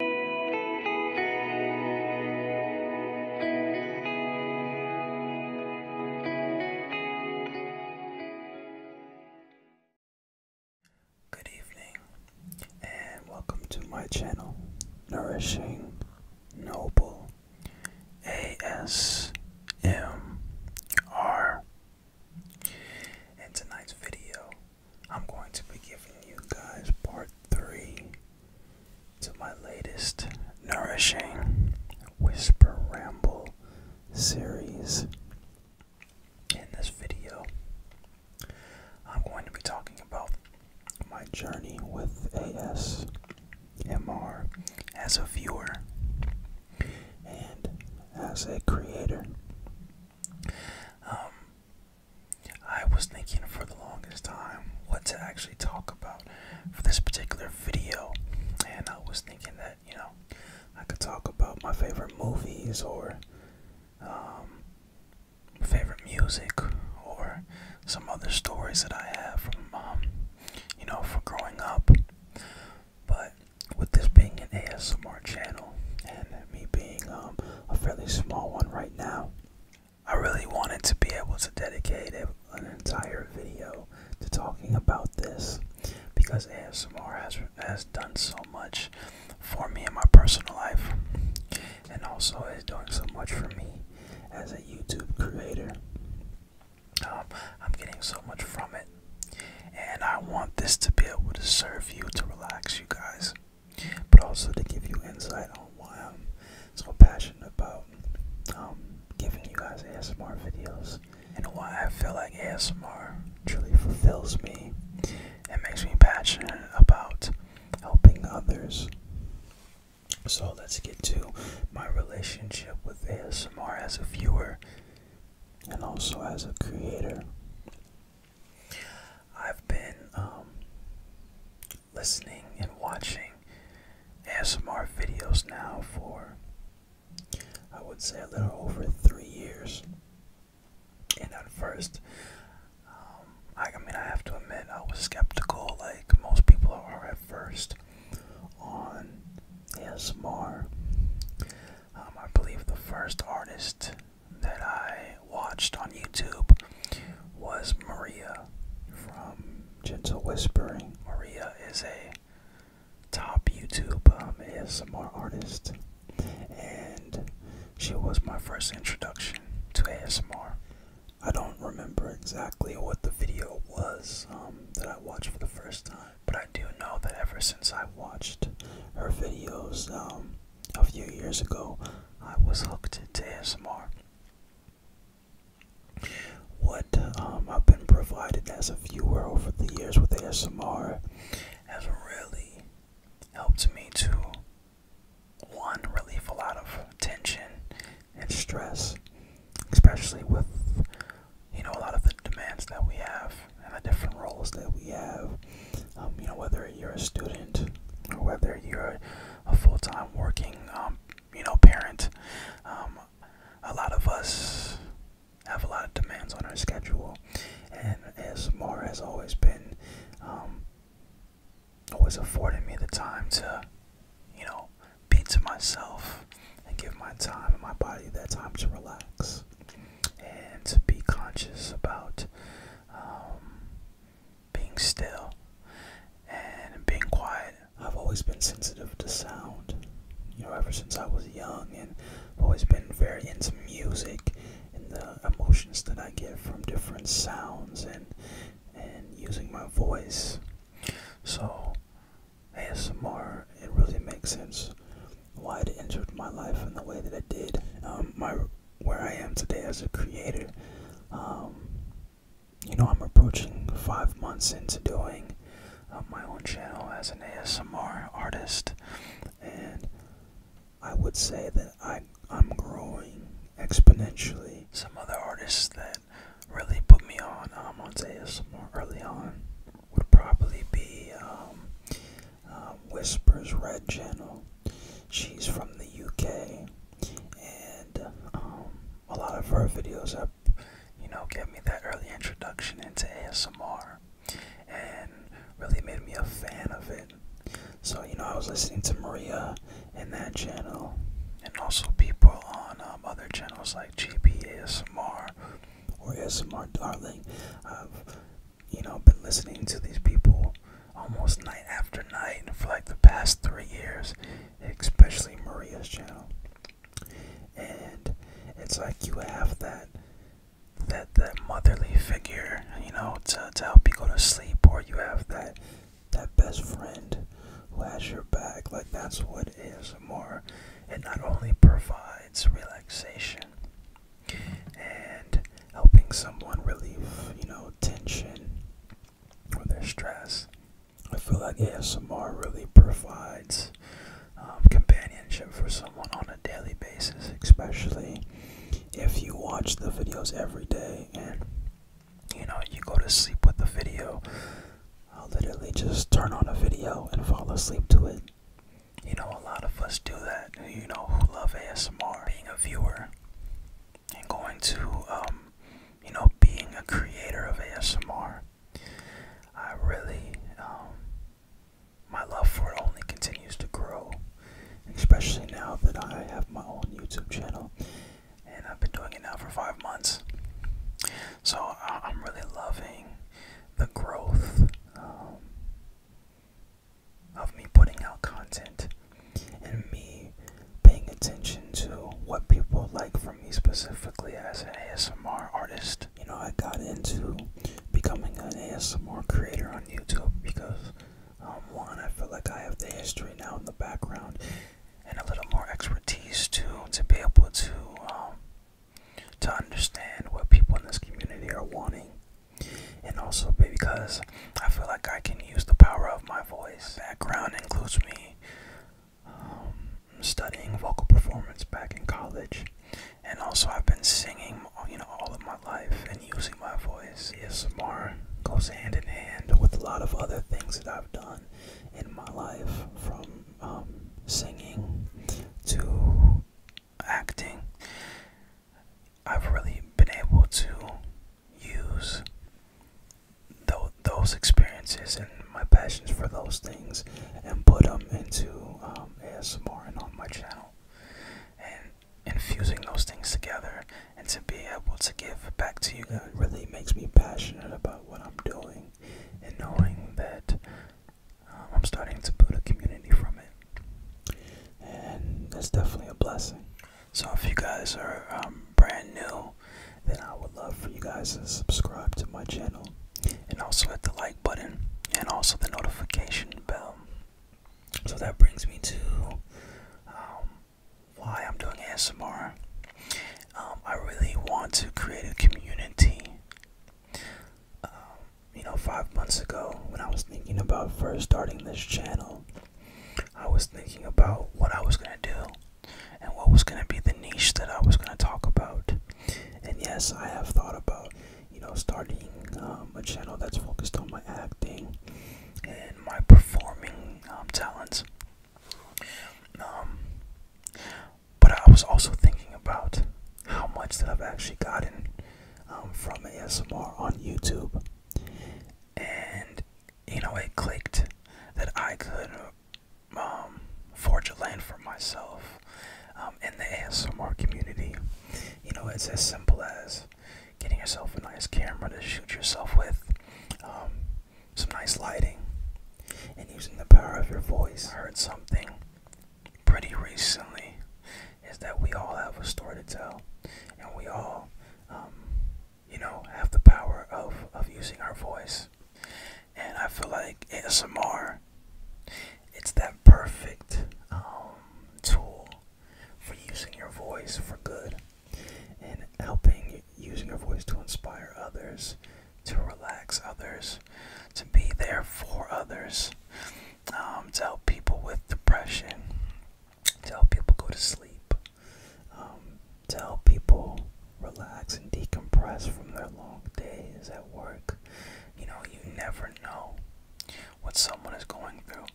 Good evening, and welcome to my channel, Nourishing Noble ASMR. In tonight's video, I'm going to be giving you guys part three to my latest nourishing whisper ramble series. In this video, I'm going to be talking about my journey with ASMR as a viewer and as a creator. Um, I was thinking for the longest time what to actually talk about for this particular video, and I was thinking that you know I could talk about my favorite movies or um, favorite music or some other stories that I have from um, you know from growing up. But with this being an ASMR channel me being um, a fairly small one right now. I really wanted to be able to dedicate an entire video to talking about this because ASMR has, has done so much for me in my personal life and also is doing so much for me as a YouTube creator. Um, I'm getting so much from it, and I want this to be able to serve you to relax you guys but also to give you insight on why I'm so passionate about um, giving you guys ASMR videos and why I feel like ASMR truly fulfills me and makes me passionate about helping others. So let's get to my relationship with ASMR as a viewer and also as a creator. I've been um, listening and watching ASMR videos now for I would say a little over three years. And at first, um, I, I mean, I have to admit, I was skeptical, like most people are at first, on ASMR. Um, I believe the first artist that I watched on YouTube was Maria from Gentle Whispering. Maria is a top YouTube um, ASMR artist, and she was my first introduction to ASMR. I don't remember exactly what the video was um, that I watched for the first time, but I do know that ever since I watched her videos, um, a few years ago, I was hooked into ASMR. What um, I've been provided as a viewer over the years with ASMR has really helped me to one relieve a lot of tension and stress, especially with you know a lot of the demands that we have and the different roles that we have um, you know whether you're a student or whether you're a, full-time working um, you know parent um, a lot of us have a lot of demands on our schedule and as more has always been always afforded me the time to you know be to myself and give my time and my body that time to relax and to be conscious about being still, and being quiet. I've always been sensitive to sound, you know, ever since I was young, and I've always been very into music and the emotions that I get from different sounds and and using my voice. So ASMR, it really makes sense why it entered my life in the way that it did. Um, my where I am today as a creator. Um, you know, I'm approaching five months into doing uh, my own channel as an ASMR artist, and I would say that I, I'm growing exponentially. Some other artists that really put me on um, on ASMR early on would probably be um, uh, Whispers Red Channel. She's from the UK, and um, a lot of her videos have, you know, gave me that early introduction into ASMR, and really made me a fan of it. So you know, I was listening to Maria in that channel, and also people on um, other channels like GP ASMR or ASMR Darling you know, been listening to these people almost night after night for like the past three years, especially Maria's channel. And it's like you have that that that motherly figure, you know, to, to help you go to sleep, or you have that that best friend who has your back. Like that's what is more. It not only provides relaxation, and helping someone relieve, you know, tension or their stress. I feel like ASMR really provides um, companionship for someone on a daily basis, especially if you watch the videos every day and you know you go to sleep with the video. i literally just turn on a video and fall asleep to it. You know, a lot of us do that. You know, who love ASMR, being a viewer and going to, um, you know, being a creator of ASMR, I really, um, my love for it only continues to grow, especially now that I have my own YouTube channel, and I've been doing it now for five months. So I'm really loving the growth um, of me putting out content and me paying attention to what people like from me specifically as an ASMR artist. You know, I got into becoming an ASMR creator on YouTube because, um, one, I feel like I have the history now in the background and a little more expertise to to be able to um, to understand what people in this community are wanting and also because I feel like I can use the power of my voice. background includes me um, studying vocal performance back in college, and also I've been singing, you know, all of my life and using my voice. ASMR goes hand in hand with a lot of other things that I've done in my life, from um, singing to acting I've really been able to use those experiences and my passions for those things and put them into um, ASMR and on my channel. And infusing those things together and to be able to give back to you guys really makes me passionate about what I'm doing and knowing that um, I'm starting to build a community from it. And that's definitely a blessing. So if you guys are um, brand new, then I would love for you guys to subscribe to my channel and also hit the like button and also the notification bell. So that brings me to um, why I'm doing ASMR. Um, I really want to create a community. Um, you know, five months ago when I was thinking about first starting this channel, I was thinking about what I was going to do and what was going to be the niche that I was going to talk about. And yes, I have thought about, you know, starting um, a channel that's focused on my acting and my performing um, talents. Um, but I was also thinking about how much that I've actually gotten um, from ASMR on YouTube and you know it clicked that I could um, forge a lane for myself um, in the ASMR community. You know, it's as simple as getting yourself a nice camera to shoot yourself with, um, some nice lighting, and using the power of your voice. I heard something pretty recently is that we all have a story to tell, and we all, um, you know, have the power of of using our voice. And I feel like ASMR, it's that perfect um, tool for using your voice for good and helping using your voice to inspire others, to relax others, to be there for others, um, to help people with depression, to help people go to sleep, um, to help people relax and decompress from their long days at work. You know, you never know what someone is going through.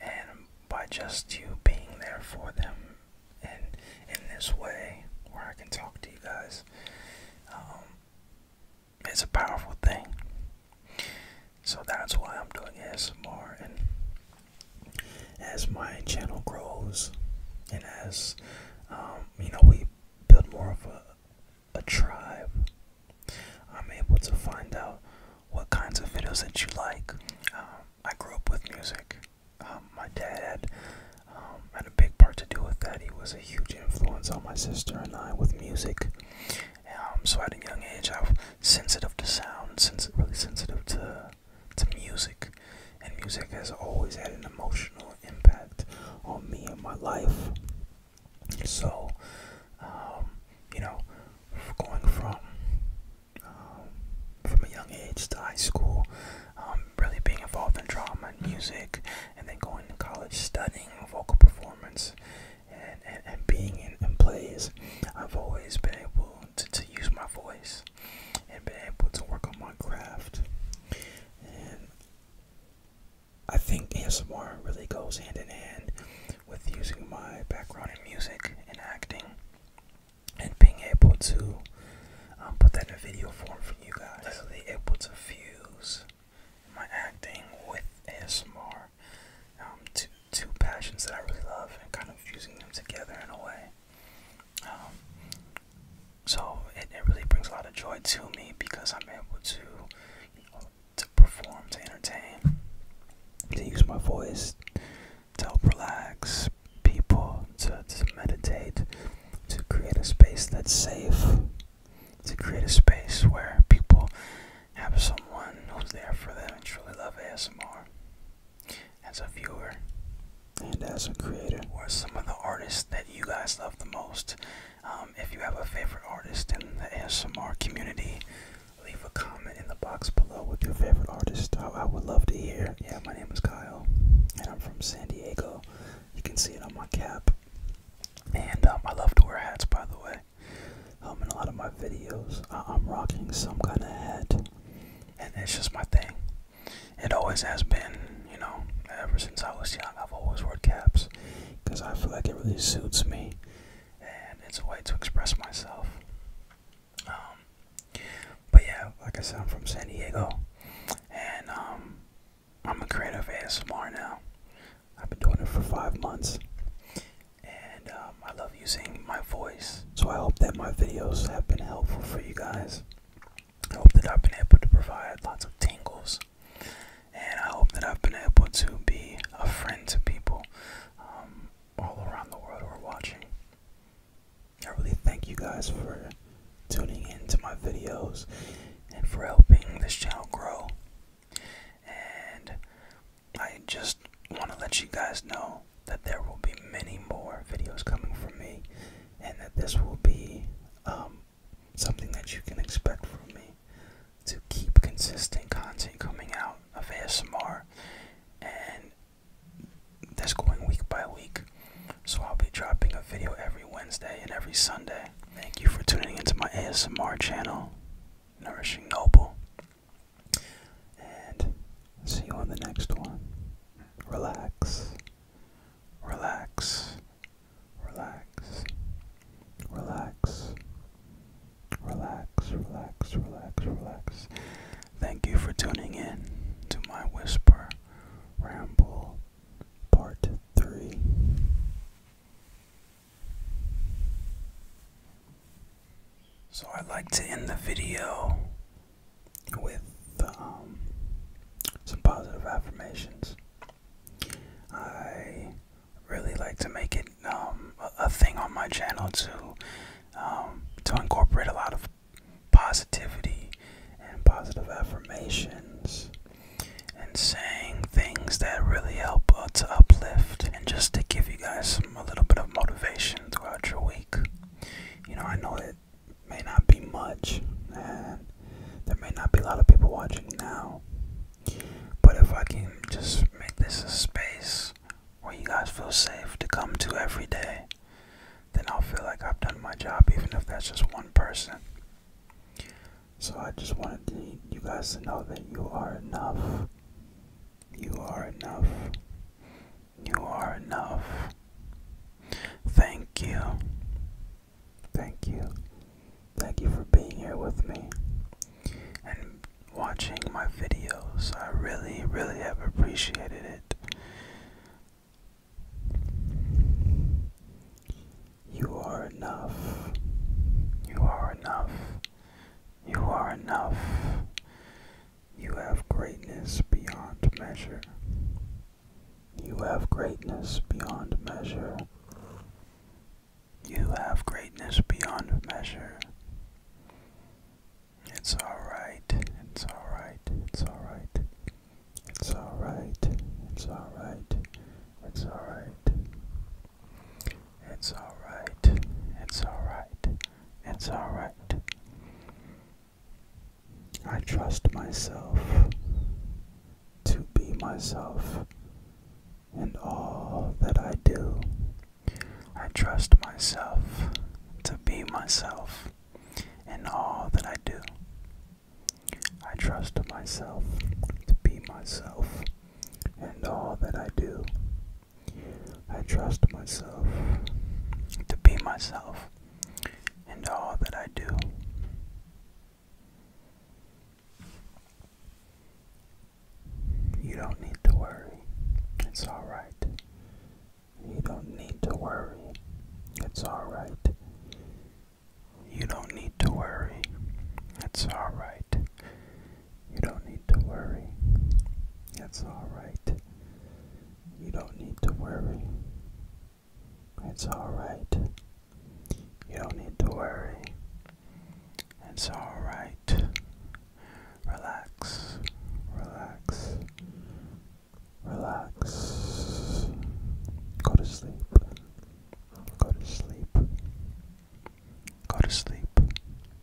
And by just you being there for them, and in this way, where I can talk to you guys, um, it's a powerful thing. So that's why I'm doing ASMR and as my channel grows and as um, you know we build more of a, tribe, I'm able to find out what kinds of videos that you like. Um, I grew up with music. Um, my dad had, had a big part to do with that. He was a huge influence on my sister and I with music so at a young age, I was sensitive to sound, sens- really sensitive to to music, and music has always had an emotional impact on me and my life. So, um, you know, going from um, from a young age to high school, um, really being involved in drama and music, and then going to college, studying vocal performance, and, and, being in, in plays, I've always been able to, use my voice and been able to work on my craft. And I think ASMR really goes hand in hand with using my background in music and acting and being able to um, put that in a video form for you guys. Really able to fuse my acting with ASMR um, two, passions that I really love and kind of fusing them together in a way. Um, so it, really brings a lot of joy to me because I'm able to, you know, to perform, to entertain, to use my voice, to help relax people, to meditate, to create a space that's safe, to create a space where people have someone who's there for them and truly love ASMR as a viewer and as a creator. Or some of the artists that you guys love the most. Um, if you have a favorite artist in the ASMR community, leave a comment in the box below with your favorite artist. I, I would love to hear. Yeah, my name is Kyle, and I'm from San Diego. You can see it on my cap. And um, I love to wear hats, by the way guy. Um, in a lot of my videos, I am rocking some kind of hat, and it's just my thing. It always has been, you know, ever since I was young, I've always worn caps because I feel like it really suits me, and it's a way to express myself. Um, but yeah, like I said, I'm from San Diego, and um, I'm a creative ASMR now. I've been doing it for five months, and um, I love using my voice. So I hope that my videos have been helpful for you guys. I hope that I've been able to provide lots of tingles, and I hope that I've been able to be a friend to people um, all around the world who are watching. I really thank you guys for tuning in to my videos and for helping this channel grow. And I just want to let you guys know that there will be many more videos coming from me, and that this will be um, something that you can expect from me to keep consistent content coming out of ASMR and this going week by week. So I'll be dropping a video every Wednesday and every Sunday. Thank you for tuning into my ASMR channel, Nourishing Noble. And see you on the next one. Relax. Relax. Relax. Relax. Relax, relax, relax, relax. Thank you for tuning in to my whisper ramble part 3. So I'd like to end the video with um, some positive affirmations. I really like to make it um, a, thing on my channel to um, to incorporate a lot of positivity and positive affirmations and saying things that really help us uh, uplift and just to give you guys a little bit of motivation throughout your week. You know, I know it may not be much, and there may not be a lot of people watching now. But if I can just make this a space where you guys feel safe to come to every day, then I'll feel like I've done my job, even if that's just one person. So I just wanted you guys to know that you are enough. You are enough. You are enough. Thank you. Thank you. Thank you for being here with me and watching my videos. I really, really have appreciated it. You are enough. You are enough. You are enough. You have greatness beyond measure. You have greatness beyond measure. You have greatness beyond measure. It's alright, it's alright, it's alright. It's alright, it's alright, it's alright. It's alright. It's alright. It's alright. I trust myself to be myself and all that I do. I trust myself to be myself in all that I do. I trust myself to be myself and all that I do. I trust myself to be myself and all that I do. You don't need to worry. It's alright. You don't need to worry. It's alright. You don't need to worry. It's alright. You don't need to worry. It's alright. You don't need to worry. It's alright. You don't need to worry. It's alright. Relax. Relax. Relax. Go to sleep. Go to sleep. Go to sleep.